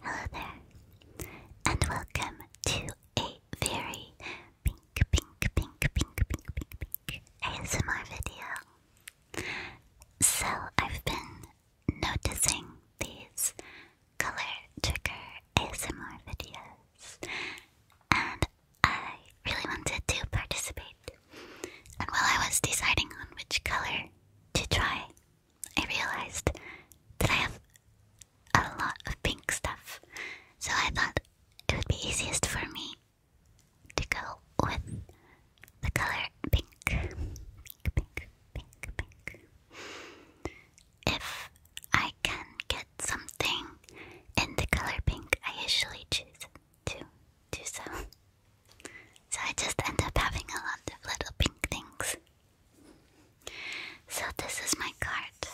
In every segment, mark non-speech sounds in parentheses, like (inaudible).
Hello there, and welcome to a very pink, pink, pink, pink, pink, pink, pink ASMR video. So, I've been noticing these color trigger ASMR videos, and I really wanted to participate. And while I was deciding on which color to try, I realized that I have a lot of pink stuff, so I thought it would be easiest for me to go with the color pink. Pink, pink, pink, pink. If I can get something in the color pink, I usually choose to do so. So I just end up having a lot of little pink things. So this is my cart.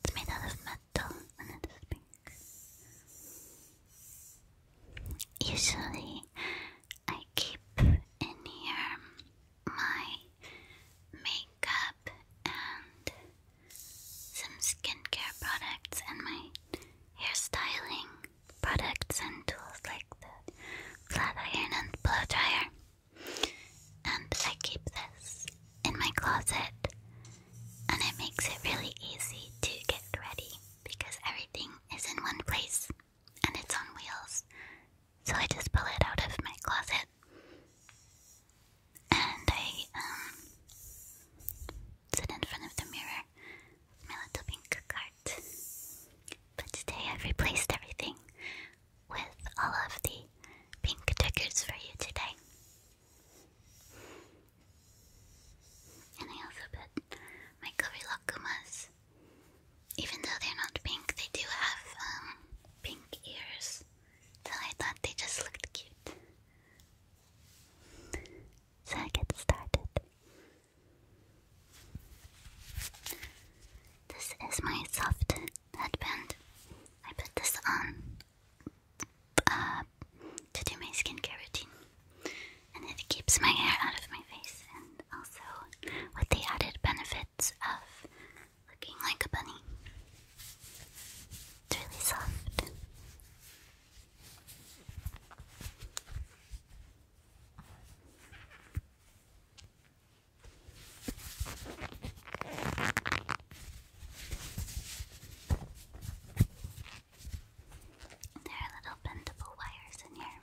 It's made out of metal and it is pink. Usually I keep in here my makeup and some skincare products and my styling products and tools like the flat iron and blow dryer. And I keep this in my closet, and it makes it really easy to get ready because everything is in one place and it's on wheels. So I just pull it out of my closet and I um, sit in front of the mirror my little pink cart. But today I've replaced everything with all of the pink triggers for you today. And I also put my Kurilakumas. Even though they're not pink, they do have um, pink ears. So I thought they just looked cute so I get started. This is my soft headband. I put this on uh, to do my skincare routine, and it keeps my hair out of my face. And also, with the added benefits of looking like a bunny, it's really soft. There are little bendable wires in here.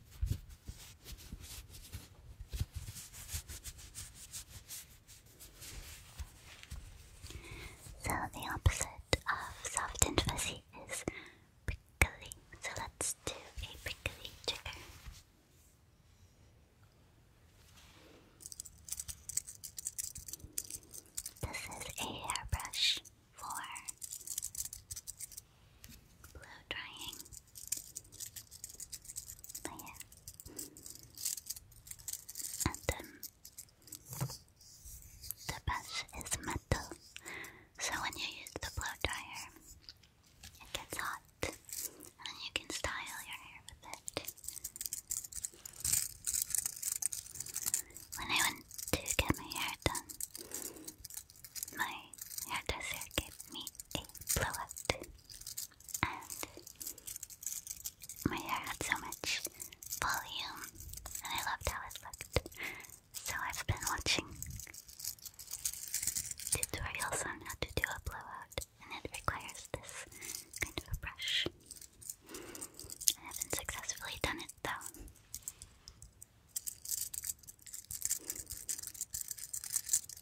So the opposite of soft and fuzzy is prickly. So let's do a prickly trigger. This is a hairbrush for blow drying. But yeah. And then the brush is metal. So when you use the blow dryer, it gets hot. And you can style your hair with it. When I went to get my hair done, my hairdresser gave me a blowout. And my hair had so much volume, and I loved how it looked. So I've been watching tutorials on how to do a blowout, and it requires this kind of a brush. I haven't successfully done it though.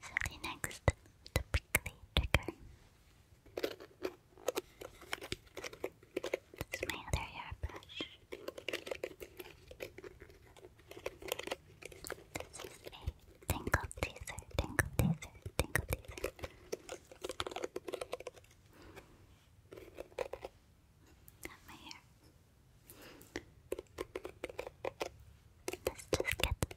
So the next typically trigger is my other hairbrush. This is a tingle teaser, tingle teaser, tingle teaser. Not my hair. Let's just get the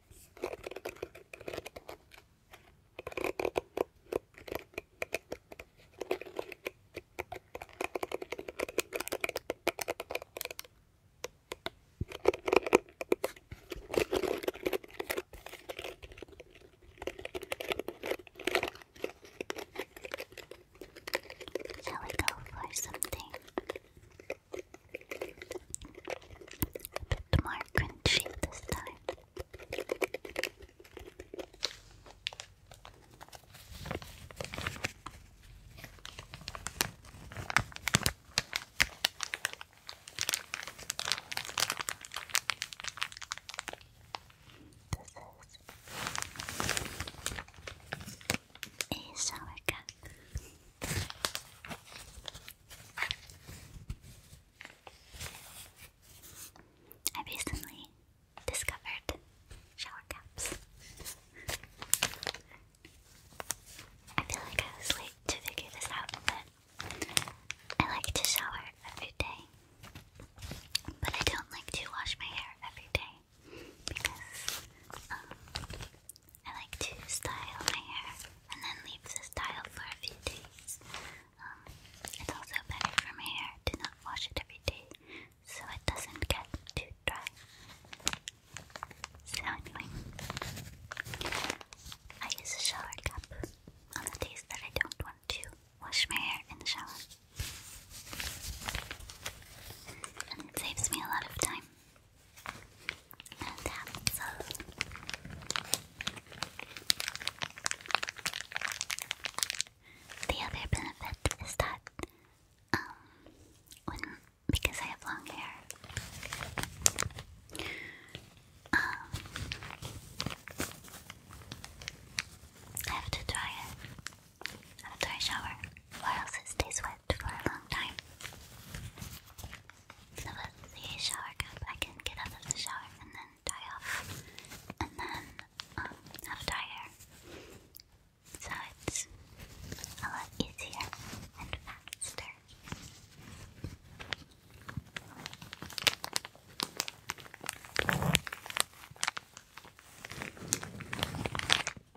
I we go for something bit more crunchy this time. This is a sour I recently discovered shower caps. I feel like I was late to figure this out, but I like to shower every day. But I don't like to wash my hair every day because um, I like to style my hair and then leave the style for a few days. Um, it's also better for my hair to not wash it every day so it doesn't get too dry. I use a shower cap on the days that I don't want to wash my hair in the shower. And it saves me a lot of time. The other benefit is that, um, because I have long hair, um, I have to dry it. I a shower, or else it stays wet slept for a long time. So with the shower cap, I can get out of the shower and then dry off, and then um, have dry hair. So it's a lot easier and faster.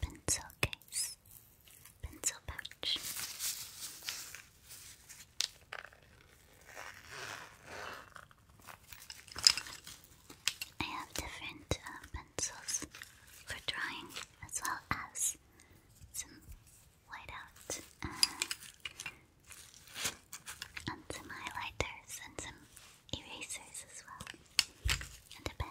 pencil case, pencil pouch. I have different uh, pencils for drawing, as well as some whiteout and uh, some highlighters and some erasers as well, and a pen.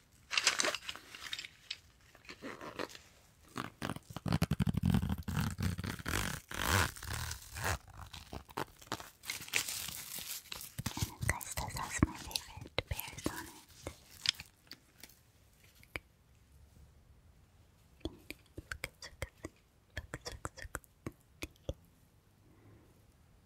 guys, this has my favorite pears on it.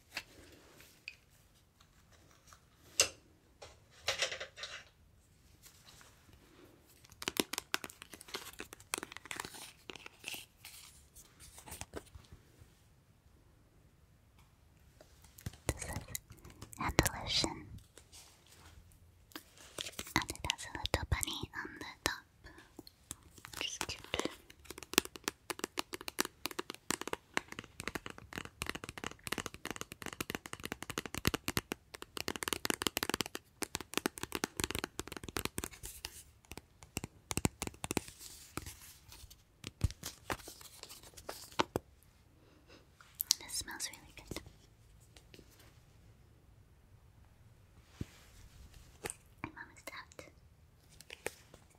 This is Andalusian, and it has a little bunny on the top. Just which is This smells really good. My mom is out.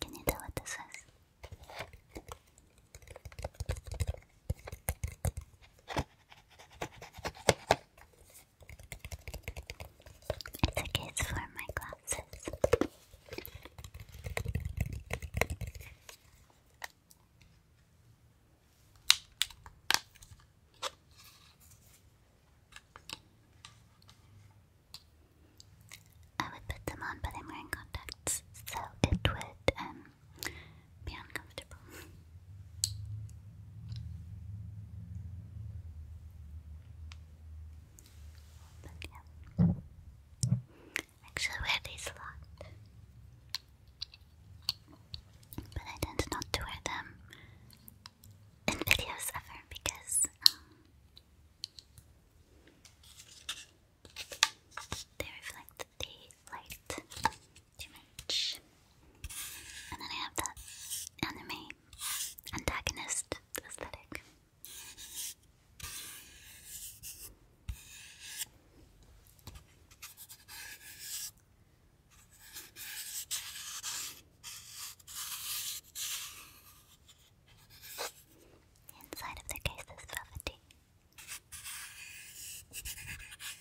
Can you tell what this is? It's a case for my glasses. I would put them on, but I'm wearing contacts, so it would um, be uncomfortable tip. But Actually wear these a lot. But I tend not to wear them in videos ever because um, they reflect the light too much. And then I have that anime antagonist aesthetic. inside of the case is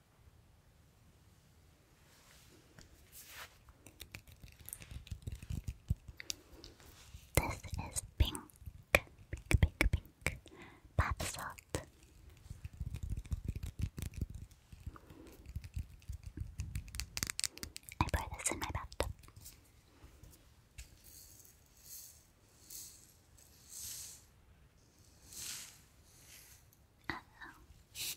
This is pink, pink, pink, pink bath salt. I pour this in my bathtub. Uh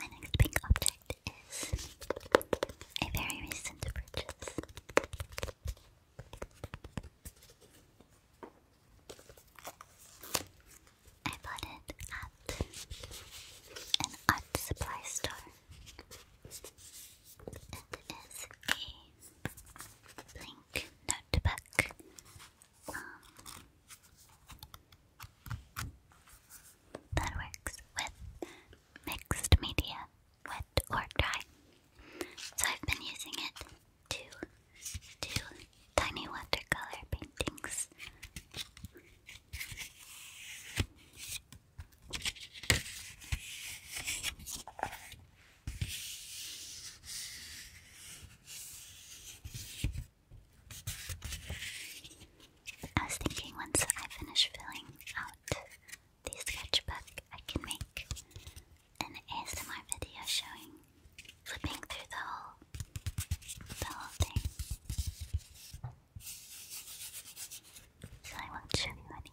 My next pink object is a very recent purchase. I bought it at an art supply store. It is a Blink notebook. Um, that works with mixed media, wet or dry. So I've been using it to do tiny watercolor paintings. I was thinking once I finish filling out the sketchbook, I can make an ASMR video showing flipping through the whole, the whole thing. So I won't show you any.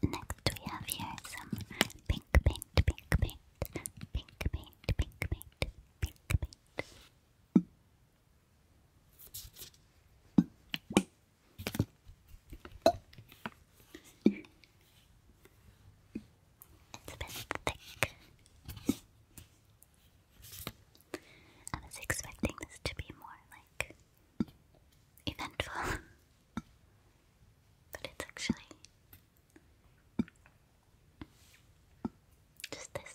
Next we have here some pink paint, pink paint, pink paint, pink paint, pink paint. It's a bit thick. I was expecting this to be more like eventful. (laughs) but it's actually just this.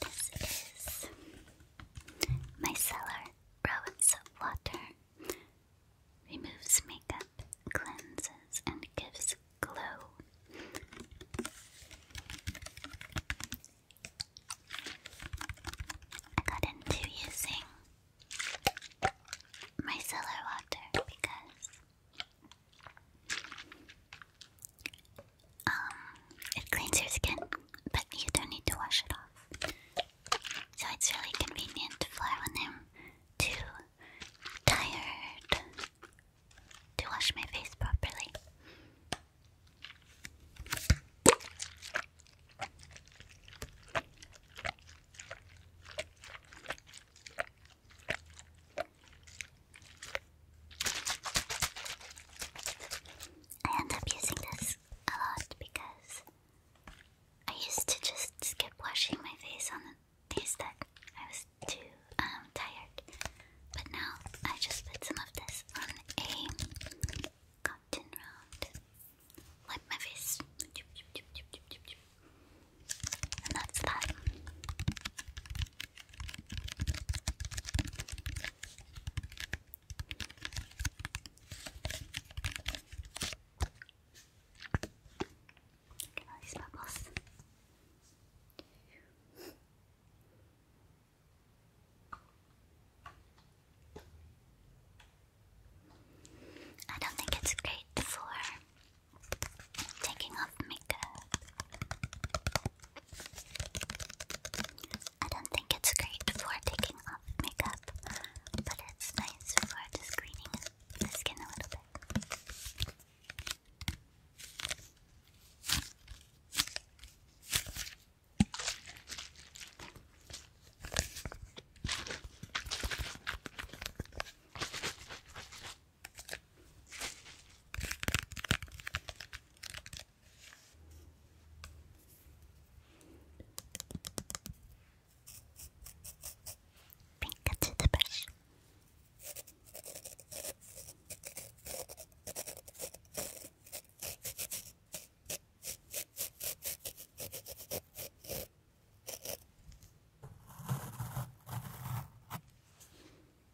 This is micellar rose water. Removes makeup, cleanses, and gives glow. I got into using micellar water because um, it cleans your skin, but you don't need to wash it off. So it's really convenient for when I'm too tired to wash my face properly. I end up using this a lot because I used to just keep washing my face on the that I was too um, tired. But now I just put some of this on a cotton round. Wipe my face. And that's that. Look at all these bubbles. I don't think it's great for taking off makeup. I don't think it's great for taking off makeup, but it's nice for just the skin a little bit. Pink to the brush.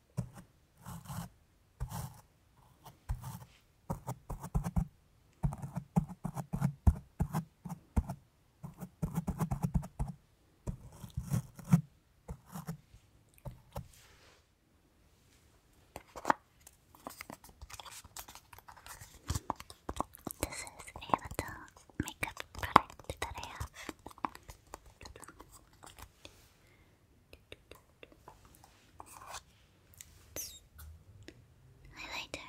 This is a makeup product that I have. Highlighter.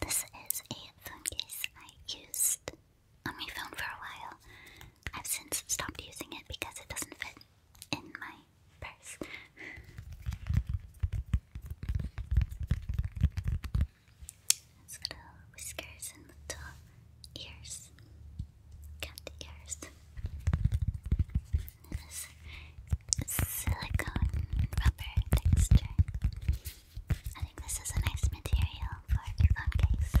This is a phone case I used on my phone for a while. I've since stopped using it because it doesn't fit in my purse. It's little whiskers and little ears. Cat ears. This silicone rubber texture. I think this is a nice material for a phone case.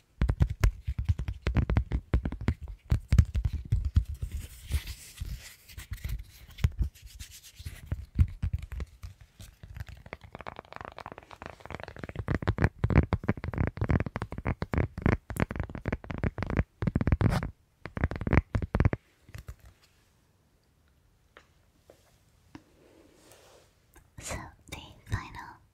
So the final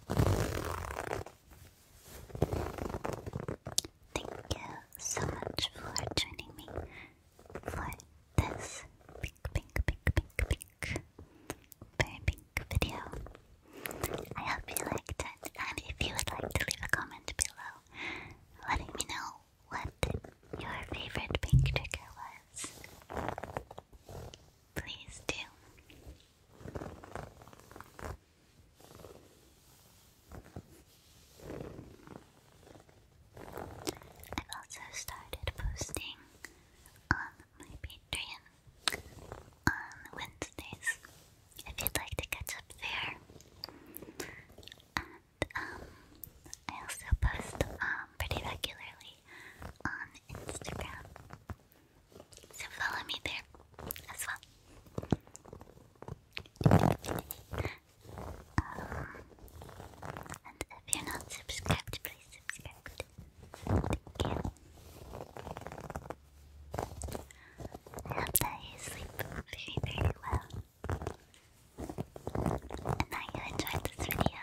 Thank you so much for joining me for this pink, pink, pink, pink, pink, very pink video. I hope you liked it, and if you would like to leave a comment below letting me know what your favorite pink trigger was, please do. I've also started posting on my Patreon on Wednesdays if you'd like to catch up there. And um, I also post um, pretty regularly on Instagram. So follow me there as well. and if you're not subscribed, please subscribe. Thank you. I hope that you sleep very, very well. And that you enjoyed this video.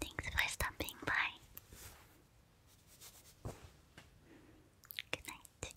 Thanks for stopping by. Good night.